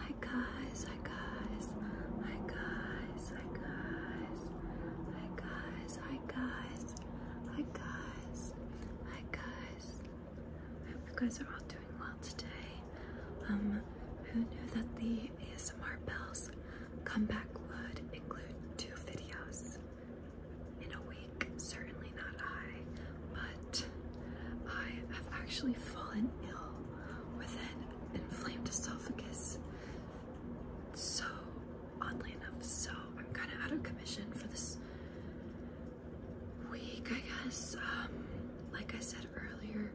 Hi guys, hi guys, hi guys, hi guys, hi guys, hi guys, hi guys, hi guys. I hope you guys are all doing well today. Um, who knew that the ASMR Bells comeback would include two videos in a week? Certainly not I, I have actually fallen ill with an inflamed esophagus. So, oddly enough, so I'm kind of out of commission for this week, I guess. Um, like I said earlier,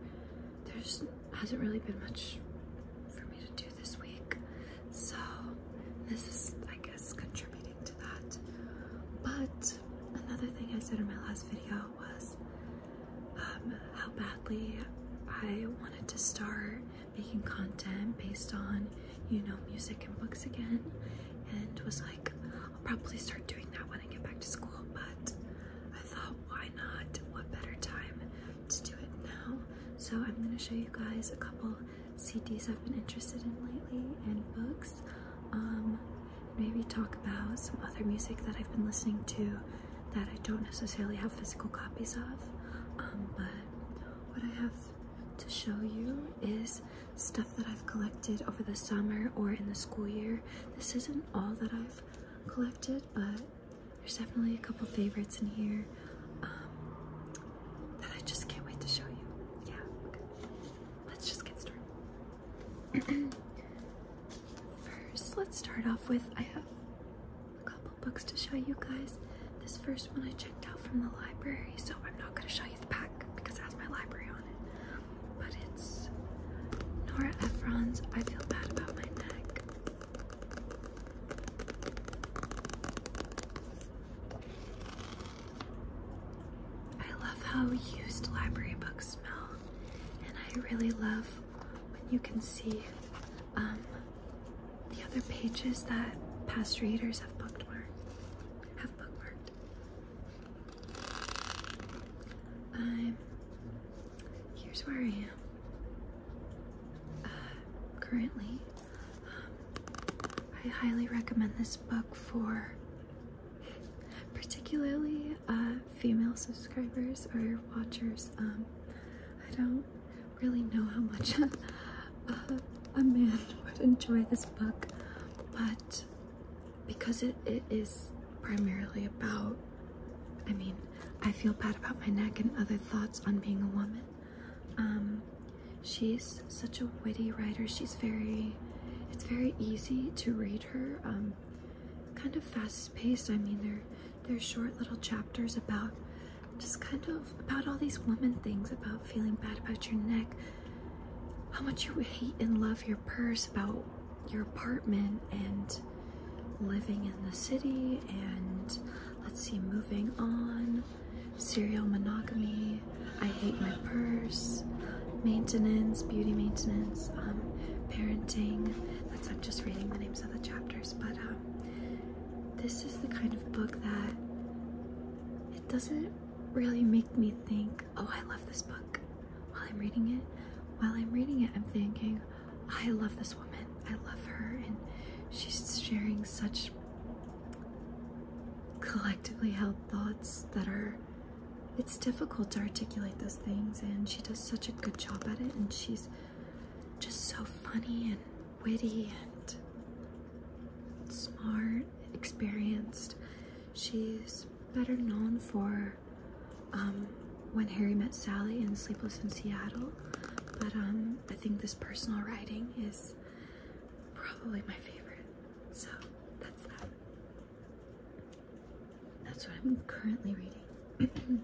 there's hasn't really been much for me to do this week, so this is, I guess, contributing to that. But another thing I said in my last video was um, how badly I wanted to start making content based on, you know, music and books again, and was like, I'll probably start doing that when I get back to school. But I thought, why not? What better time to do it now? So I'm going to show you guys a couple CDs I've been interested in lately and books. Um, maybe talk about some other music that I've been listening to that I don't necessarily have physical copies of. Um, but what I have to show you is stuff that I've collected over the summer or in the school year. This isn't all that I've collected, but there's definitely a couple favorites in here um, that I just can't wait to show you. Yeah, Let's just get started. first, let's start off with I have a couple books to show you guys. This first one I checked out from the library, so I'm not going to show you the pack because it has my library on it. But it's Nora Ephron's I Feel Bad About My Neck. I love how used library books smell and I really love when you can see um, the other pages that past readers have bookmarked. Have bookmarked. Um, here's where I am. Uh, currently, um, I highly recommend this book for particularly uh, female subscribers or watchers. Um, I don't really know how much a, man would enjoy this book, but because it is primarily about, I mean, I feel bad about my neck and other thoughts on being a woman. Um, she's such a witty writer. She's very, it's very easy to read her. Um, kind of fast paced. I mean, they're they're short little chapters about just kind of about all these woman things, about feeling bad about your neck, how much you hate and love your purse, about your apartment and living in the city, and let's see, moving on, serial monogamy, I hate my purse maintenance, beauty maintenance, um, parenting. That's I'm just reading the names of the chapters, but um, this is the kind of book that it doesn't really make me think, oh, I love this book. While I'm reading it, while I'm reading it, I'm thinking, I love this woman. I love her, and she's sharing such collectively held thoughts that are it's difficult to articulate those things and she does such a good job at it and she's just so funny and witty and smart and experienced she's better known for um, when harry met sally in sleepless in seattle but um, i think this personal writing is probably my favorite so that's that that's what I'm currently reading.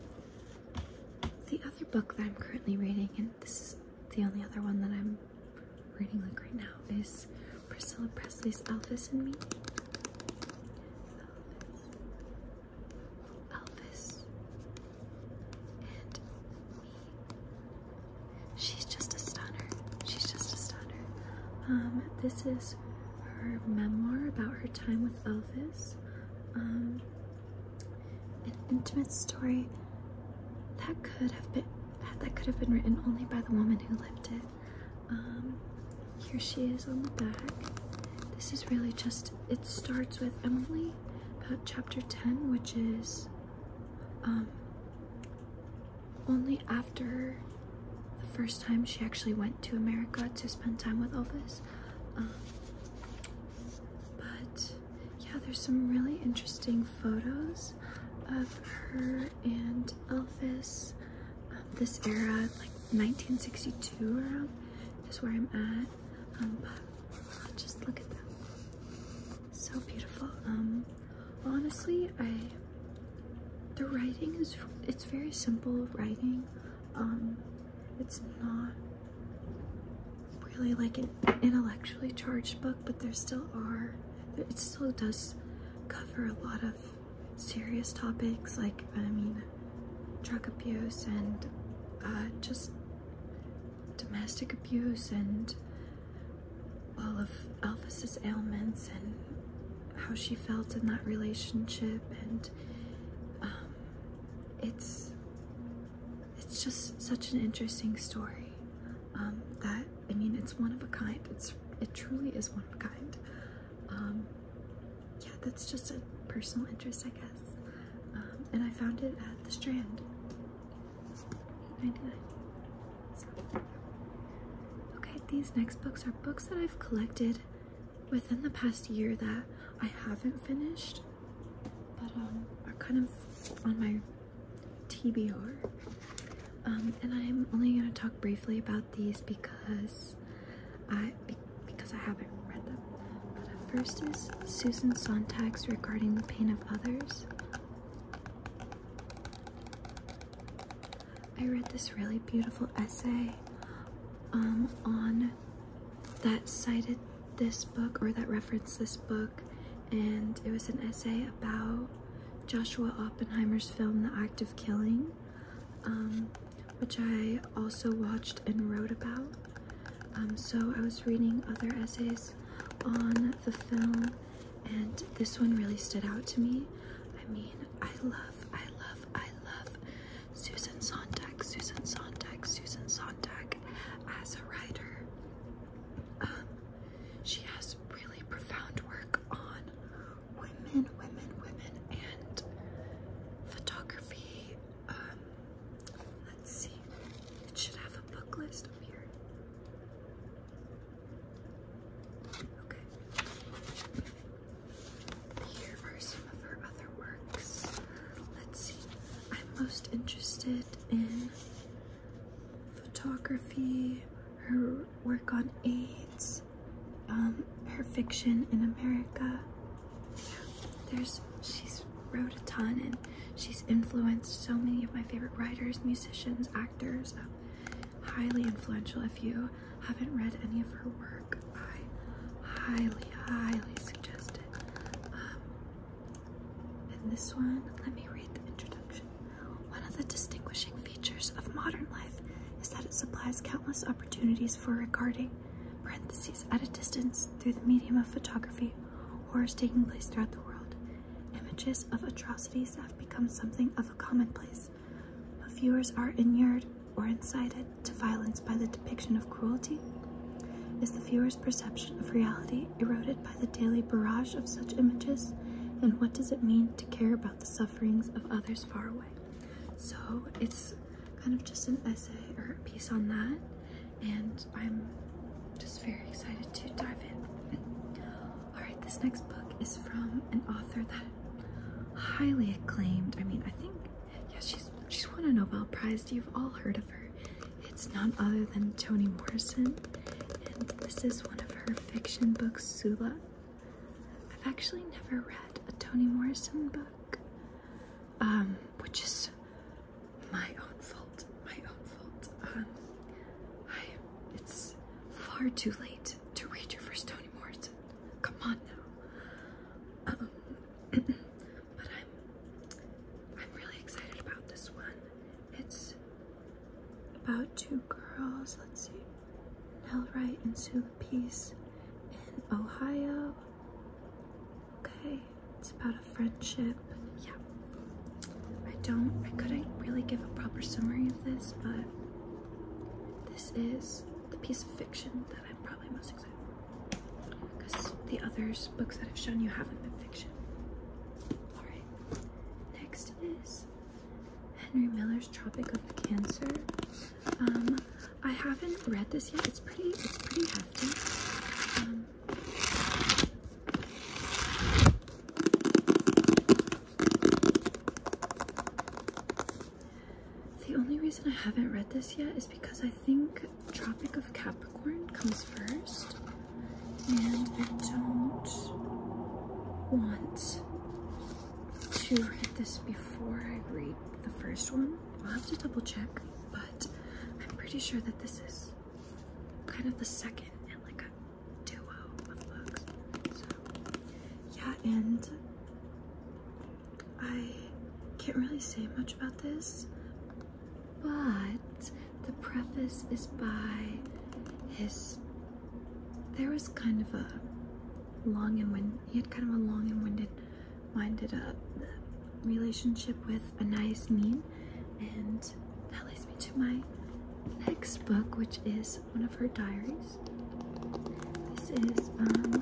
the other book that I'm currently reading, and this is the only other one that I'm reading like right now, is Priscilla Presley's Elvis and Me. Elvis. and me. She's just a stunner. She's just a stunner. Um, this is her memoir about her time with Elvis, um, an intimate story that could have been that could have been written only by the woman who lived it. Um, here she is on the back. This is really just it starts with Emily about chapter 10, which is um, only after the first time she actually went to America to spend time with Elvis. Um, but yeah, there's some really interesting photos of her and Elvis. Um, this era, like 1962 around, is where I'm at. Um, but just look at them So beautiful. Um, honestly, I the writing is it's very simple writing. Um, it's not really like an intellectually charged book, but there still are, it still does cover a lot of serious topics like, I mean, drug abuse and uh, just domestic abuse and all of Elvis's ailments and how she felt in that relationship and um, it's it's just such an interesting story. Um, that I mean, it's one of a kind. It's it truly is one of a kind. Um, yeah, that's just a personal interest, I guess. and I found it at the Strand. Okay, these next books are books that I've collected within the past year that I haven't finished, but um, are kind of on my TBR. Um, and I'm only gonna talk briefly about these because I because I haven't read them. But uh, first is Susan Sontag's regarding the pain of others. I read this really beautiful essay um, on that cited this book or that referenced this book, and it was an essay about Joshua Oppenheimer's film The Act of Killing, um, which I also watched and wrote about. Um, so I was reading other essays on the film, and this one really stood out to me. I mean, I love, I love, I love Susan Sontag, Susan Sontag, Susan Sontag as a writer. Um, she has really profound work on women, women, women, and photography. Um, let's see, it should have a book list up here. Okay. Here are some of her other works. Let's see. I'm most interested in photography, her work on AIDS, um, her fiction in America. there's she's wrote a ton and she's influenced so many of my favorite writers, musicians, actors. Uh, highly influential if you haven't read any of her work, I highly, highly suggest it. Um, and this one, let me read the introduction. One of the distinguishing features of modern life is that it supplies countless opportunities for regarding parentheses at a distance through the medium of photography horrors taking place throughout the world. Images of atrocities have become something of a commonplace, but viewers are inured or incited to violence by the depiction of cruelty? Is the viewer's perception of reality eroded by the daily barrage of such images? And what does it mean to care about the sufferings of others far away? So it's kind of just an essay or a piece on that, and I'm just very excited to dive in. Alright, this next book is from an author that highly acclaimed. I mean, I think, yeah, she's She's won a Nobel Prize. You've all heard of her. It's none other than Toni Morrison, and this is one of her fiction books, Sula. I've actually never read a Toni Morrison book, um, which is my own fault. My own fault. Um, it's far too late to read your first Toni Morrison. Come on now. Um, but I'm I'm really excited about this one. It's about two girls, let's see, Nell Wright and Sue Peace in Ohio. Okay, it's about a friendship. Yeah. I don't I couldn't really give a proper summary of this, but this is the piece of fiction that I'm probably most because the other books that I've shown you haven't been fiction. Alright. Next is Henry Miller's Tropic of Cancer. Um I haven't read this yet. It's pretty it's pretty hefty. Um, the only reason I haven't read this yet is because I think Tropic of Capricorn comes first, and I don't want to read this before I read the first one. I'll have to double check, but I'm pretty sure that this is kind of the second and like a duo of books. yeah, and I can't really say much about this, but the preface is by his. There was kind of a long and wind. He had kind of a long and winded, minded uh, relationship with Anais Nin, and that leads me to my next book, which is one of her diaries. This is um,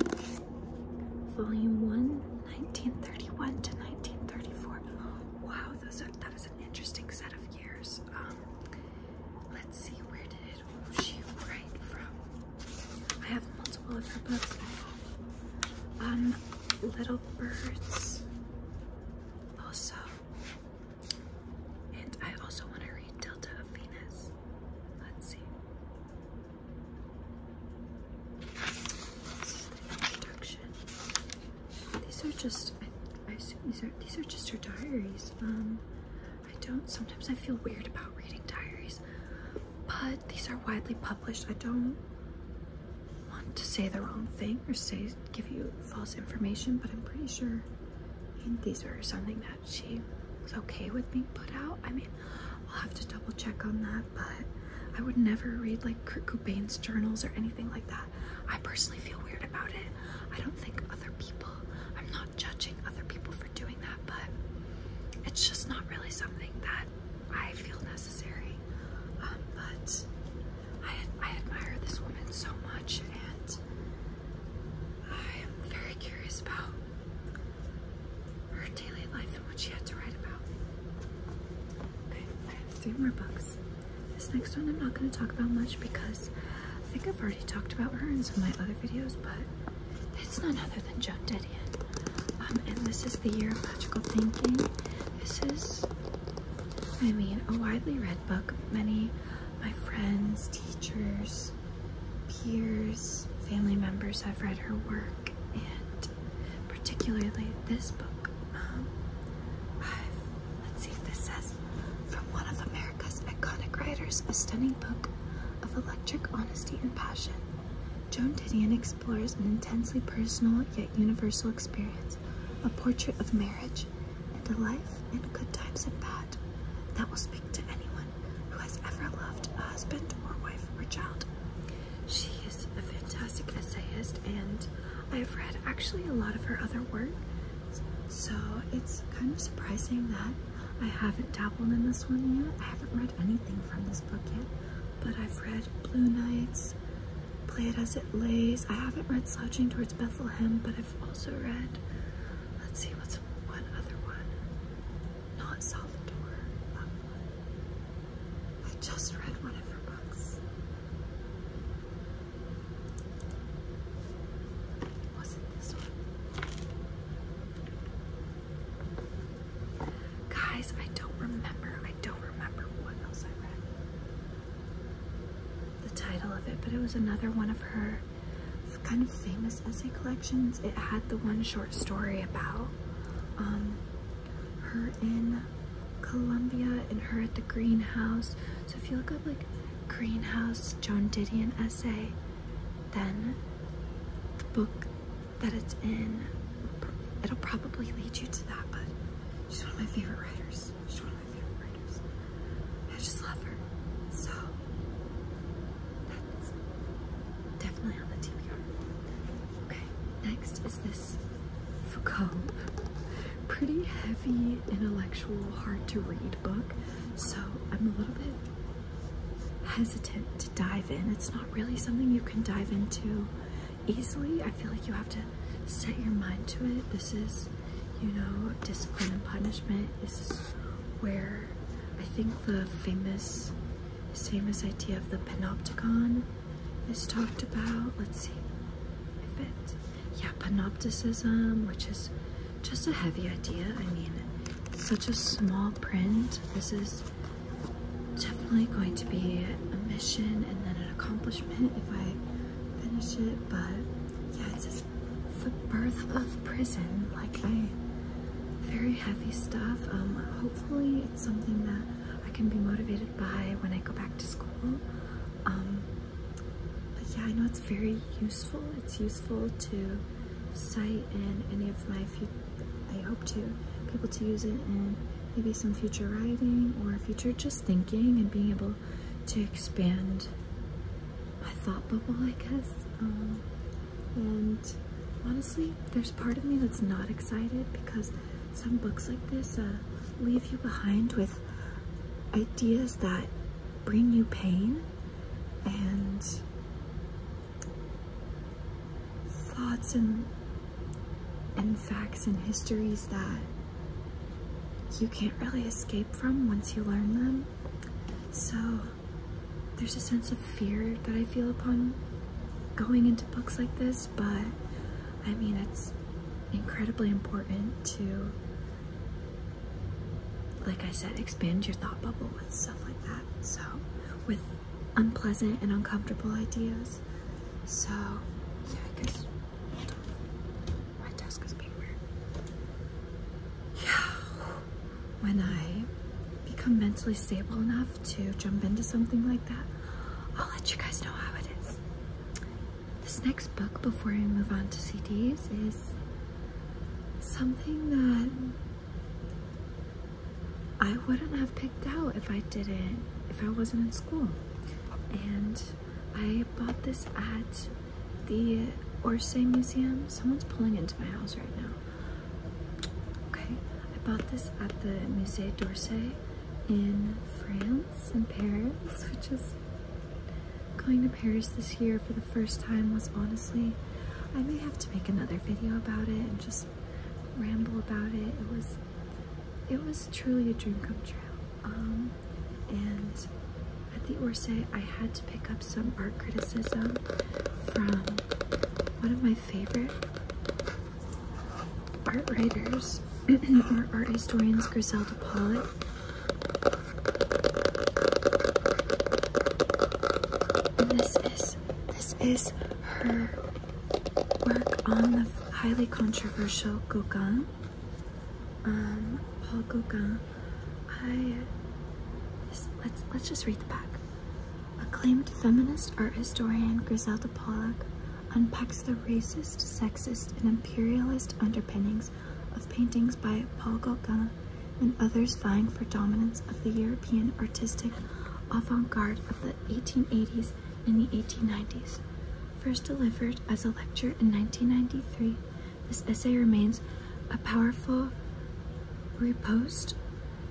volume 1, 1931 to 1934. Wow, those are, that is an interesting set of years. Um, let's see, where did it, oh, she write from? I have multiple of her books. Um, Little Birds, also. And I also want to read Delta of Venus. Let's see. These are just, I, assume these are, these are just her diaries. Um, I don't, sometimes I feel weird about reading diaries, but these are widely published. I don't want to say the wrong thing or say, give you false information, but I'm pretty sure these were something that she was okay with being put out. I mean, I'll have to double check on that, but I would never read like Kurt Cobain's journals or anything like that. I personally feel weird about it. I don't think other people, I'm not judging other people for doing that, but it's just not really something that I feel necessary. Um, but I admire this woman so much and I am very curious about her daily life and what she had to write about. Okay, I have three more books. This next one I'm not going to talk about much because I think I've already talked about her in some of my other videos, but it's none other than Joan Didion. Um, and this is The Year of Magical Thinking. This is, I mean, a widely read book. Many my friends, teachers, peers, family members have read her work and particularly this book. Um, let's see if this says from one of America's iconic writers, a stunning book of electric honesty and passion. Joan Didion explores an intensely personal yet universal experience, a portrait of marriage and a life and good times and bad that will speak to anyone who has ever loved a husband or wife or child. She is a fantastic essayist, and I've read actually a lot of her other work, so it's kind of surprising that I haven't dabbled in this one yet. I haven't read anything from this book yet, but I've read Blue Nights, Play It As It Lays. I haven't read Slouching Towards Bethlehem, but I've also read, let's see, what's one other one? not Salvador I just read one of her books. Was it this one? Guys, I don't remember. I don't remember what else I read. The title of it, but it was another one of her kind of famous essay collections. It had the one short story about um, her in Colombia and her at the greenhouse. So if you look up like greenhouse John Didion essay, then the book that it's in, it'll probably lead you to that, but she's one of my favorite writers. She's one of my favorite writers. I just love her. So that's definitely on the TBR. Okay, next is this Foucault. Pretty heavy, intellectual, hard to read book. So I'm a little bit hesitant to dive in. It's not really something you can dive into easily. I feel like you have to set your mind to it. This is, you know, discipline and punishment. is where I think the famous this famous idea of the panopticon is talked about. Let's see if it, yeah, panopticism, which is just a heavy idea. I mean, such a small print. This is definitely going to be a mission and then an accomplishment if I finish it, but yeah, it's says the birth of prison. Like very heavy stuff. Um, hopefully it's something that I can be motivated by when I go back to school. Um, but yeah, I know it's very useful. It's useful to cite in any of my future, I hope to people to use it in maybe some future writing or future just thinking and being able to expand my thought bubble, I guess. Um, and honestly, there's part of me that's not excited because some books like this uh, leave you behind with ideas that bring you pain and thoughts and and facts and histories that you can't really escape from once you learn them. So there's a sense of fear that I feel upon going into books like this but I mean, it's incredibly important to, like I said, expand your thought bubble with stuff like that. So, with unpleasant and uncomfortable ideas. So, yeah, I guess. My desk is being weird. Yeah. When I become mentally stable enough, to jump into something like that, I'll let you guys know how it is. This next book, before I move on to CDs, is something that I wouldn't have picked out if I didn't, if I wasn't in school. And I bought this at the Orsay Museum. Someone's pulling into my house right now. Okay, I bought this at the Musée d'Orsay in France, in Paris, which is going to Paris this year for the first time was honestly, I may have to make another video about it and just ramble about it. It was, it was truly a dream come true. Um, and at the Orsay, I had to pick up some art criticism from one of my favorite art writers or art historians Griselda Pollitt. this is this is her work on the highly controversial Gauguin. Um, Paul Gauguin. I let's let's just read the back. Acclaimed feminist art historian Griselda Pollock unpacks the racist, sexist, and imperialist underpinnings of paintings by Paul Gauguin and others vying for dominance of the European artistic avant-garde of the 1880s and the 1890s. First delivered as a lecture in 1993, this essay remains a powerful riposte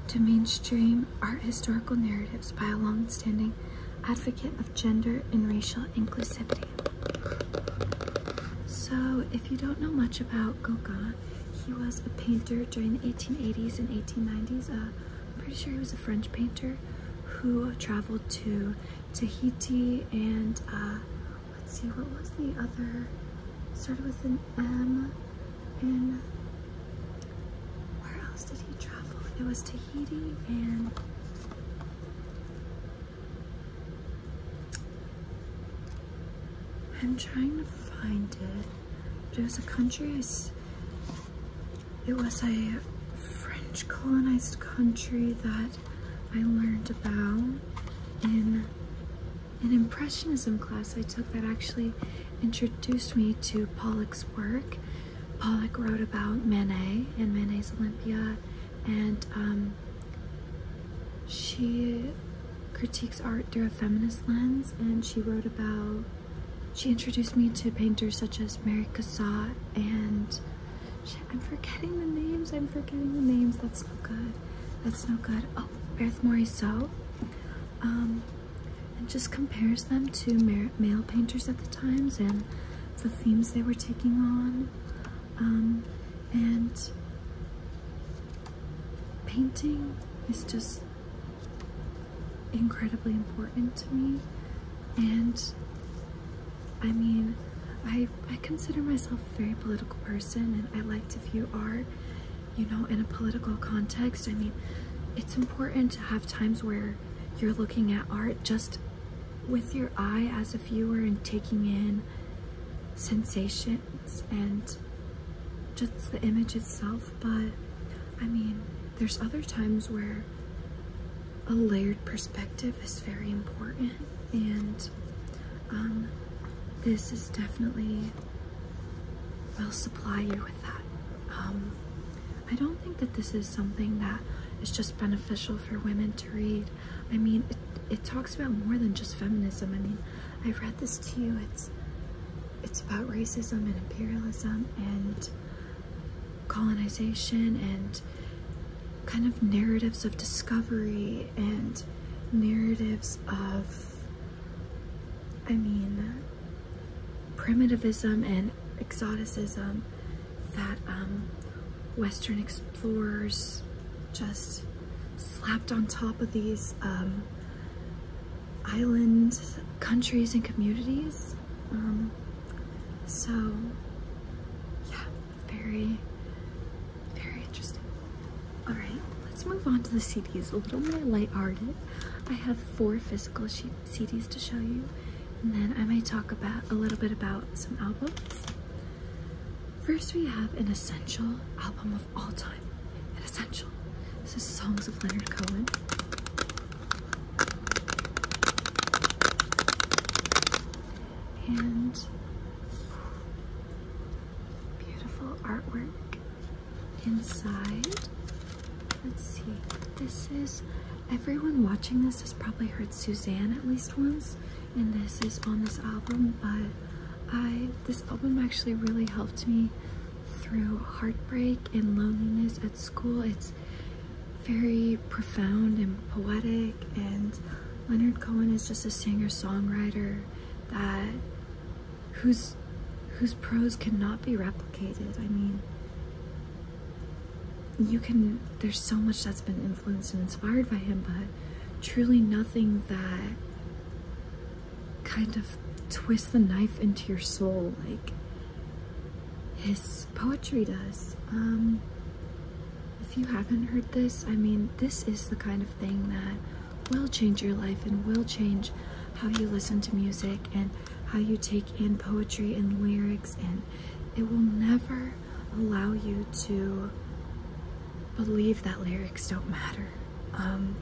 to mainstream art historical narratives by a long-standing advocate of gender and racial inclusivity. So, if you don't know much about Gauguin, he was a painter during the 1880s and 1890s. Uh, I'm pretty sure he was a French painter who traveled to Tahiti and uh, let's see, what was the other? Started with an M and where else did he travel? It was Tahiti and I'm trying to find it. it was a country. It was a French colonized country that I learned about in an impressionism class I took that actually introduced me to Pollock's work Pollock wrote about Manet and Manet's Olympia, and um, she critiques art through a feminist lens. And she wrote about, she introduced me to painters such as Mary Cassatt and I'm forgetting the names. I'm forgetting the names. That's no good. That's no good. Oh, Beth Morisot. Um, and just compares them to male painters at the times and the themes they were taking on um, and painting is just incredibly important to me and I mean I, I consider myself a very political person and I like to view art you know in a political context I mean it's important to have times where you're looking at art just with your eye as if you were taking in sensations and just the image itself, but I mean, there's other times where a layered perspective is very important, and um, this is definitely will supply you with that. Um, I don't think that this is something that is just beneficial for women to read. I mean, it, talks about more than just feminism. I mean, I've read this to you. It's it's about racism and imperialism and colonization and kind of narratives of discovery and narratives of I mean primitivism and exoticism that um, Western explorers just slapped on top of these um, island countries and communities. Um, so yeah, very, very interesting. All right, let's move on to the CDs. A little more lighthearted. I have four physical sheets. CDs to show you, and then I may talk about a little bit about some albums. First, we have an essential album of all time. An essential. This is Songs of Leonard Cohen. And beautiful artwork inside. Let's see. This is everyone watching this has probably heard Suzanne at least once, and this is on this album. But I this album actually really helped me through heartbreak and loneliness at school. It's very profound and poetic, and Leonard Cohen is just a singer-songwriter that whose whose prose cannot be replicated. I mean, you can there's so much that's been influenced and inspired by him but truly nothing that kind of twists the knife into your soul like his poetry does um, if you haven't heard this i mean this is the kind of thing that will change your life and will change how you listen to music and how you take in poetry and lyrics, and it will never allow you to believe that lyrics don't matter. Um,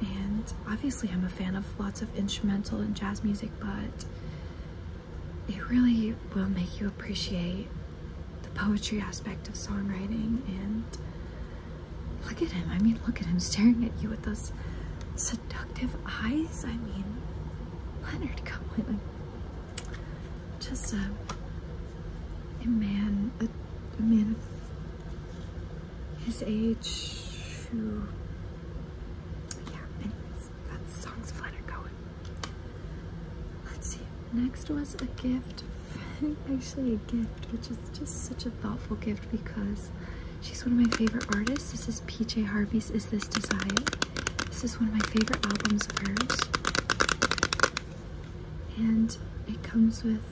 and obviously, I'm a fan of lots of instrumental and jazz music, but it really will make you appreciate the poetry aspect of songwriting. And look at him. I mean, look at him staring at you with those seductive eyes. I mean, Leonard Cohen, just a uh, a man, a, man of his age who, yeah. that song's Leonard Cohen. Let's see. Next was a gift, actually a gift, which is just such a thoughtful gift because she's one of my favorite artists. This is PJ Harvey's Is This Desire. This is one of my favorite albums of hers. And it comes with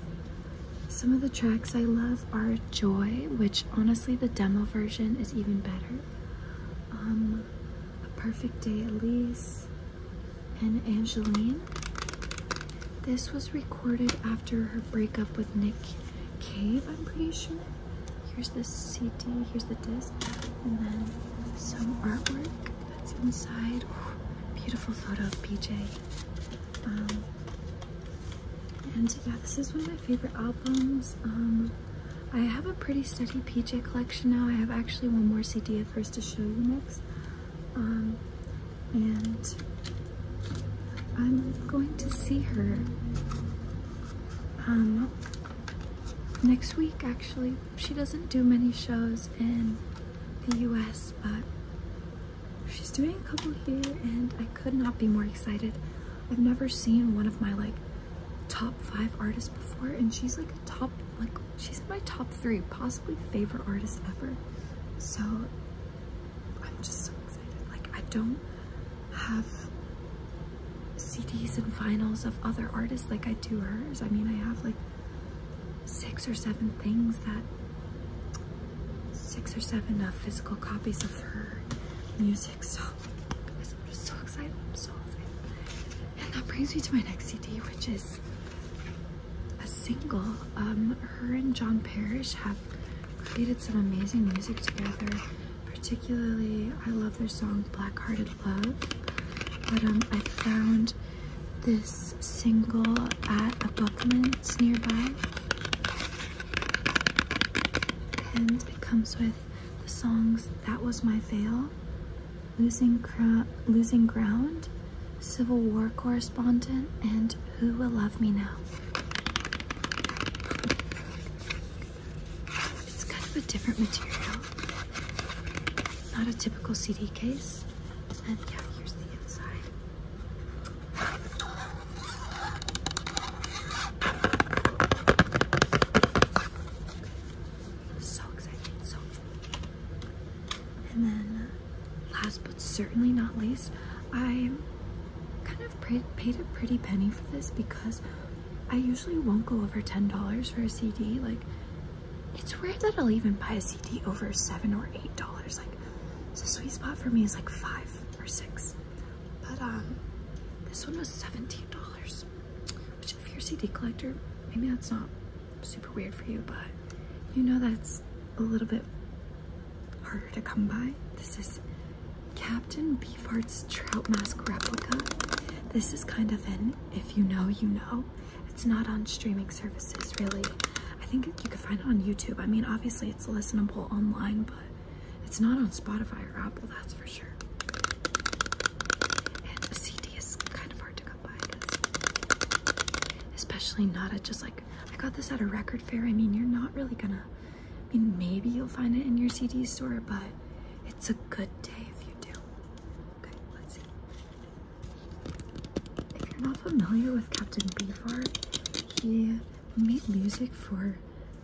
some of the tracks I love are Joy, which honestly the demo version is even better. Um, A Perfect Day Elise and Angeline. This was recorded after her breakup with Nick Cave, I'm pretty sure. Here's the CD, here's the disc, and then some artwork that's inside. beautiful photo of PJ. Um, and yeah, this is one of my favorite albums. Um, I have a pretty steady PJ collection now. I have actually one more CD first to show you next. Um, and I'm going to see her um, next week actually. She doesn't do many shows in the US, but she's doing a couple here and I could not be more excited. I've never seen one of my like top five artists before and she's like a top, like she's my top three, possibly favorite artist ever. So I'm just so excited. Like I don't, have CDs and vinyls of other artists like I do hers. I mean, I have like six or seven things that, six or seven uh, physical copies of her music. So, I'm just so excited. I'm so excited. And that brings me to my next CD, which is a single. Um, her and John Parrish have created some amazing music together particularly I love their song Black Hearted Love. But um, I found this single at a Buckman's nearby. And it comes with the songs That Was My Veil, Losing Ground, Civil War Correspondent, and Who Will Love Me Now. It's kind of a different material. Not a typical CD case. And yeah, here's the inside. So exciting, so And then uh, last but certainly not least, I kind of paid a pretty penny for this because I usually won't go over $10 for a CD. Like, it's weird that I'll even buy a CD over 7 or $8. Like, the sweet spot for me is like 5 or 6 But, um, this one was $17. Which, if you're a CD collector, maybe that's not super weird for you, but you know that's a little bit harder to come by. This is Captain Beefheart's trout mask replica. This is kind of an if you know, you know. It's not on streaming services, really. I think you could find it on YouTube. I mean, obviously, it's listenable online, but it's not on Spotify or Apple, that's for sure. a CD is kind of hard to come by, Especially not at just like, I got this at a record fair. I mean, you're not really gonna I mean, maybe you'll find it in your CD store, but it's a good day if you do. Okay, let's see. If you're not familiar with Captain Beefheart, he made music for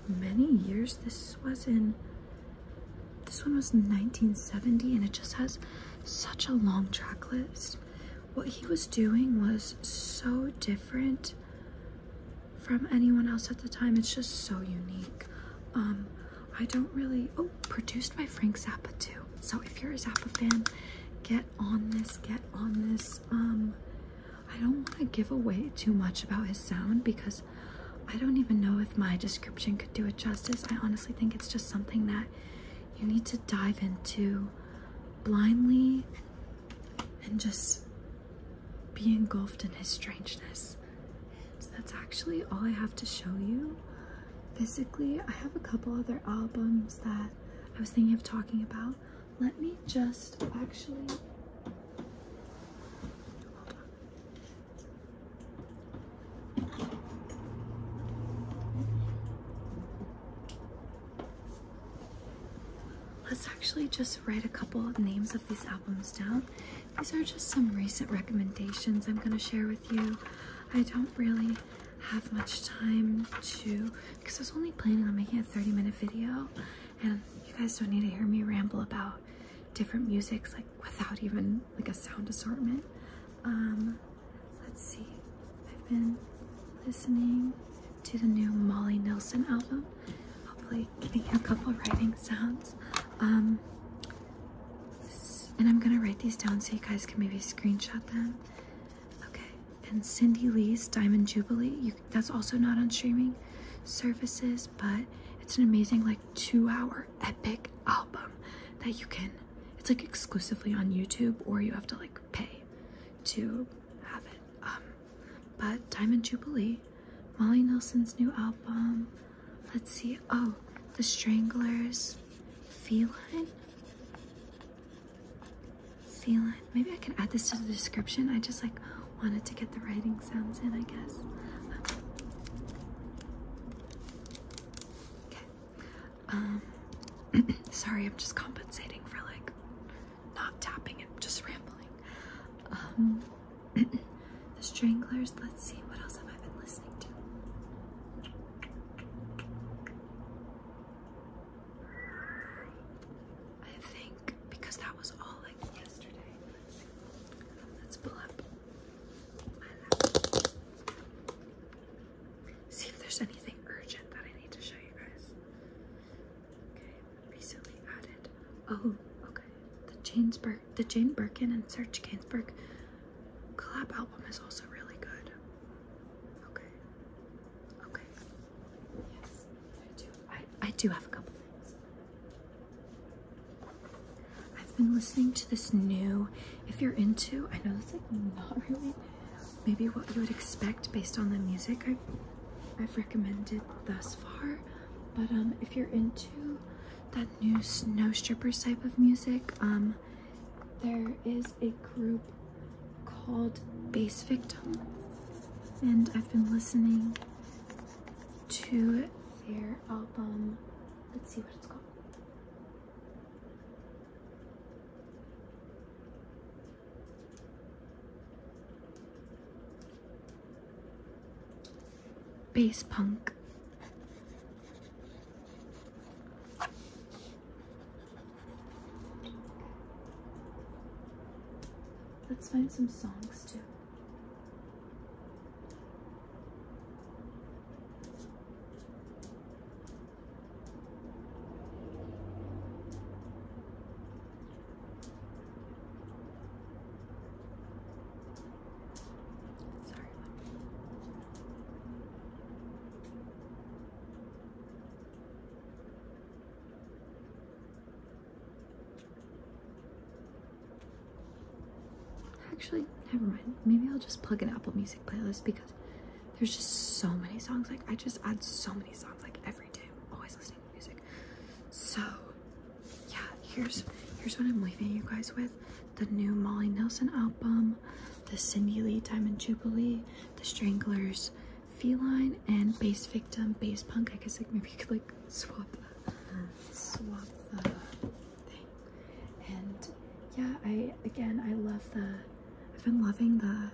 many years. This was in this one was 1970 and it just has such a long track list. What he was doing was so different from anyone else at the time. It's just so unique. Um, I don't really. Oh, produced by Frank Zappa too. So if you're a Zappa fan, get on this. Get on this. Um, I don't want to give away too much about his sound because I don't even know if my description could do it justice. I honestly think it's just something that you need to dive into blindly and just be engulfed in his strangeness. that's actually all I have to show you. Physically, I have a couple other albums that I was thinking of talking about. Let me just actually. Let's actually just write a couple of names of these albums albums down. These are just some recent recommendations I'm going to share with you. I don't really have much time to because I was only planning on making a 30 minute video and you guys don't need to hear me ramble about different musics like without even like a sound assortment. Um, let's see. I've been listening to the new Molly Nelson album hopefully getting a couple writing sounds. Um, and I'm gonna write these down so you guys can maybe screenshot them. Okay, and Cindy Lee's Diamond Jubilee. that's also not on streaming services, but it's an amazing like two-hour epic album that you can. It's like exclusively on YouTube, or you have to like pay to have it. Um, but Diamond Jubilee Molly Nelson's new album. Let's see. Oh, The Stranglers. Feline? Feline. Maybe I can add this to the description. I just like wanted to get the writing sounds in, I guess. Okay. Um, sorry, I'm just compensating for like not tapping and just rambling. Um, the Stranglers. Let's see, what else have I been listening to? I think because that was all like yesterday. Let's, see. Let's pull up See if there's anything urgent that I need to show you guys. Okay, recently added. Oh, okay. The Chainsburg the Jane Birkin and Serge Gainsbourg collab album is also really good. Okay. Okay. Yes, I do. I, I do have a couple things. I've been listening to this new, if you're into, I know it's like not really maybe what you would expect based on the music I've, I've recommended thus far, but um, if you're into that new snow strippers type of music. Um, there is a group called Bass Victim, and I've been listening to their album. Let's see what it's called bass punk. Let's find some songs too. Actually, never mind. Maybe I'll just plug an Apple Music playlist because there's just so many songs. Like I just add so many songs like every day. I'm always listening to music. So yeah, here's here's what I'm leaving you guys with: the new Molly Nelson album, the Cindy Lee Diamond Jubilee, the Stranglers, Feline, and Bass Victim, Bass Punk. I guess like maybe you could like swap the swap the thing. And yeah, I again I love the. I've been loving the.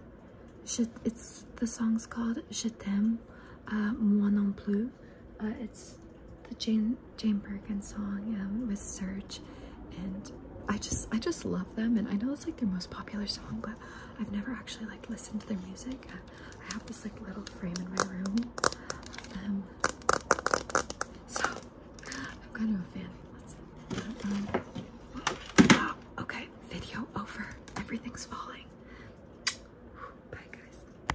It's the song's called Je t'aime, uh, moi non plus uh, it's the Jane Jane Birkin song um, with Serge, and I just I just love them. And I know it's like their most popular song, but I've never actually like listened to their music. I have this like little frame in my room, um, so I'm kind of a fan. Um, oh, okay, video over. Everything's falling. Bye, guys.